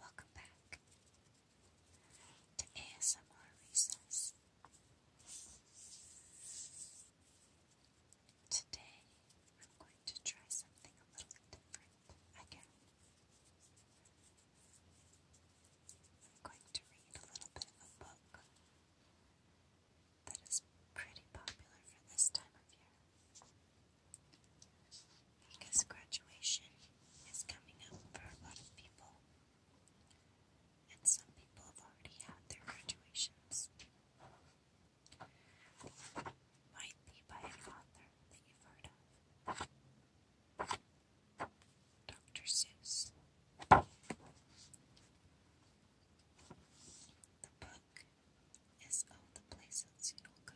Welcome back to ASMR Recess. Today I'm going to try something a little different I'm going to read a little bit of a book that is pretty popular for this time of year. Because graduation is coming up for a lot of people, and some people have already had their graduations. Might be by an author that you've heard of. Dr. Seuss. The book is all the places you will go.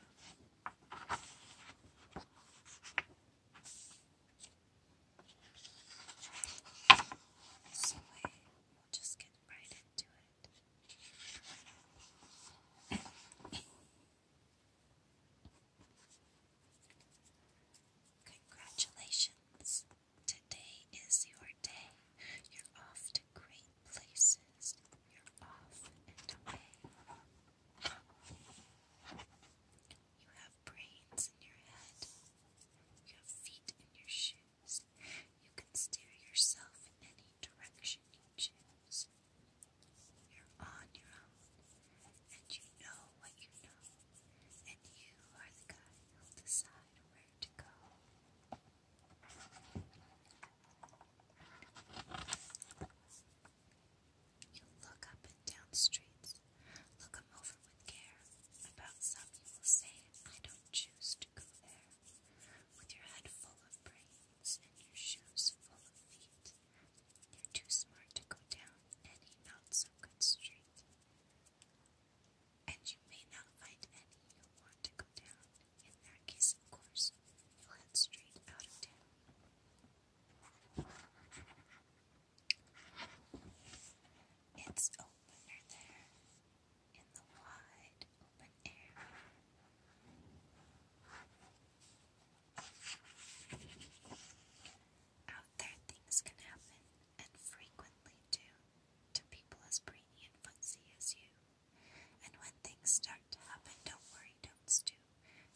So we will just get right into it. Congratulations! Today is your day. You're off to great places you're off and away. You have brains in your head. You have feet in your shoes. You can steer yourself in any direction you choose. You're on your own, and you know what you know, and you are the guy who'll decide where to go. You look up and down streets, look 'em over with care. About some you will say, I don't choose to go there. With your head full of brains and your shoes full of feet, you're too smart to go down any not so good street and you may not find any you'll want to go down. In that case, of course, you'll head straight out of town. It's opener there, in the wide open air. Out there, things can happen, and frequently do to people as brainy and fussy as you. And when things start to happen, don't worry, don't stew.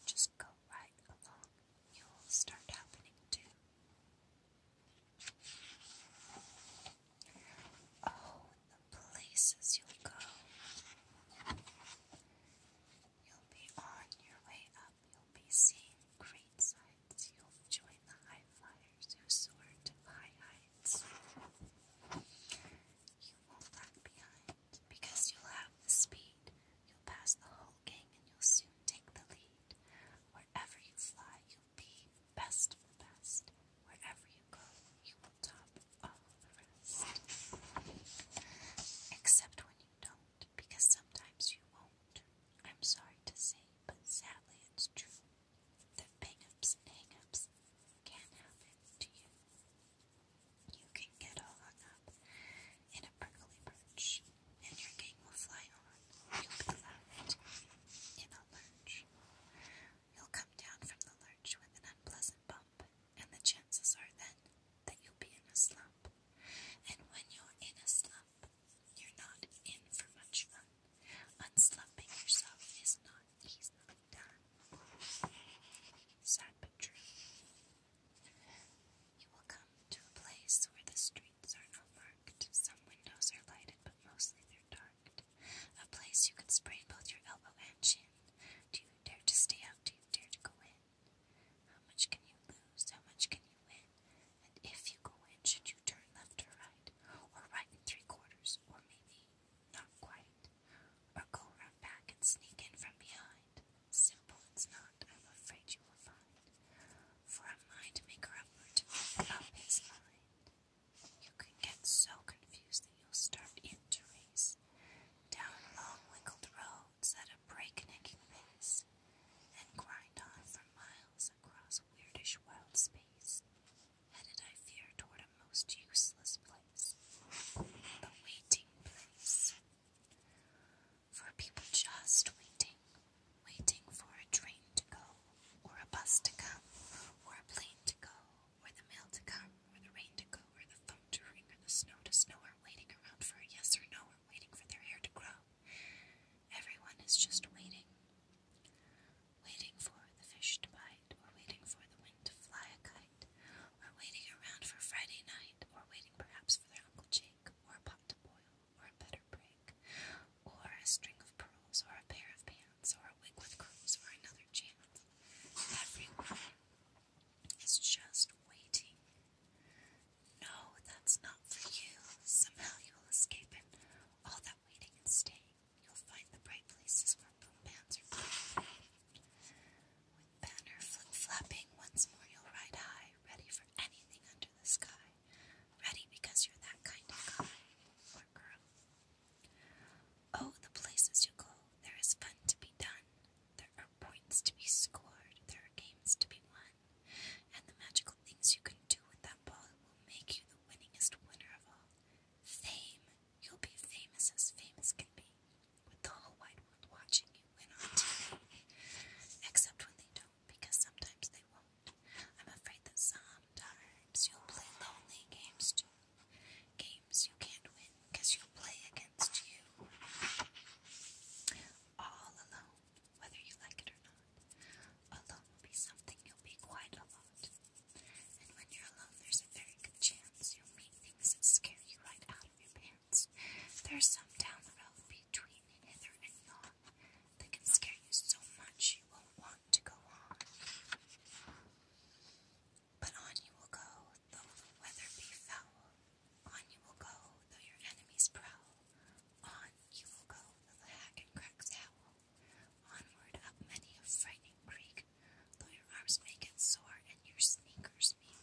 Just go right along. You'll start happening too. Oh, the places you'll go. You'll be on your way up. You'll be seeing great sights. You'll join the high flyers others soar to high heights. You won't lag behind because you'll have the speed. You'll pass the whole gang and you'll soon take the lead. Wherever you fly, you'll be best of the best. Wherever you go, you will top all the rest. Except when you don't, because sometimes you won't. I'm sorry to say, but sadly it's true. The bang-ups, can happen to you. You can get hung up in a prickly perch, and your game will fly on. You'll be left in a lurch. You'll come down from the lurch with an unpleasant bump, and the chances are then that you'll be in a slump. And when you're in a slump, you're not in for much fun. Unslumping yourself is not easily done. Sad but true. You will come to a place where the streets are not marked. Some windows are lighted, but mostly they're dark. A place you could sprain both your elbow and chin. Do you dare to stay out? Do you dare to go in? How much can you lose? How much can you win? And if you go in, should you turn left or right? or right in three quarters, or maybe not quite, or go round back and sneak in from behind. Simple it's not, I'm afraid you will find, for a mind maker upward to make up his You can get so confused that you'll start in to down long wrinkled roads at a breakneck pace, and grind on for miles across weirdish wild space headed, I fear, toward a most useless place a waiting place. For people just waiting, waiting for a train to go, or a bus to come, or a plane to go, or the mail to come, or the rain to go, or the phone to ring, or the snow to snow, We're waiting around for a yes or no, We're waiting for their hair to grow. Everyone is just waiting, Waiting for the fish to bite, or waiting for the wind to fly a kite, or waiting around for Friday night, or waiting perhaps for their Uncle Jake, or a pot to boil, or a better break, or a string of pearls, or a pair of pants, or a wig with curls, or another chance. Everyone is just waiting. No, that's not for you. Somehow you will escape it. All that waiting and staying You'll find the bright places where boom bands are played. With banner flapping once more, you'll ride high, ready for anything under the sky. Ready because you're that kind of guy or girl. Oh, the places you go, there is fun to be done. There are points to be scored, there are games to be won, and the magical things you can do with that ball will make you the winningest winner of all. Fame. You'll be famous as famous can be, with the whole wide world watching you win on TV. Except when they don't, because sometimes they won't. I'm afraid that sometimes you'll play lonely games Games you can't win, because you'll play against you. All alone, whether you like it or not. Alone will be something you'll be quite a And when you're alone, there's a very good chance you'll meet things that scare you right out of your pants. There's some down the road between hither and yon that can scare you so much you won't want to go on. But on you will go, though the weather be foul. On you will go, though your enemies prowl. On you will go, though the hack and cracks howl. Onward up many a frightening creek, though your arms may get sore and your sneakers may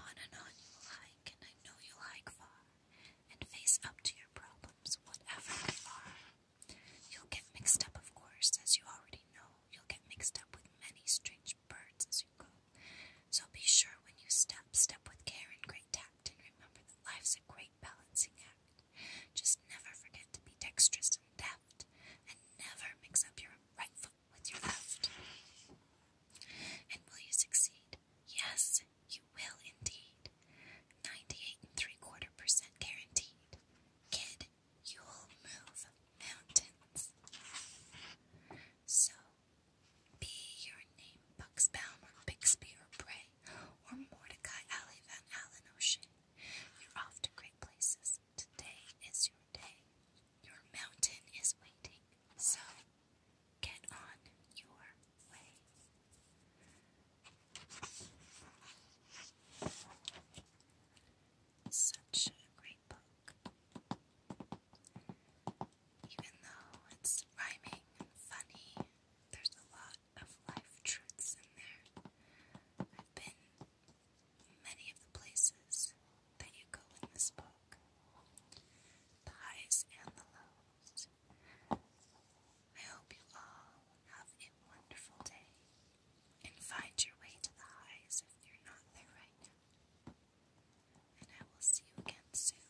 On and on you will hike, and I know you'll hike far, and face up to your problems, whatever they are. You'll get mixed up, of course, as you already know. You'll get mixed up with many strange birds as you go. So be sure when you step, step with care and great tact, and remember that life's a great balancing act. Just never forget to be dexterous and deft, and never mix up your right foot with your left. And will you succeed? Yes, you will indeed. 98 and three quarter percent guaranteed. Kid, you'll move mountains. So, be your name Bucksbaum Bixby or Bray or Mordecai Alley Van Allen O'Shea. You're off to great places. Today is your day. Your mountain is waiting. So get on your way. Such a great book. Even though it's rhyming and funny, there's a lot of life truths in there. I've been many of the places that you go in this book the highs and the lows. I hope you all have a wonderful day and find your way to the highs if you're not there right now. And I will see you again soon.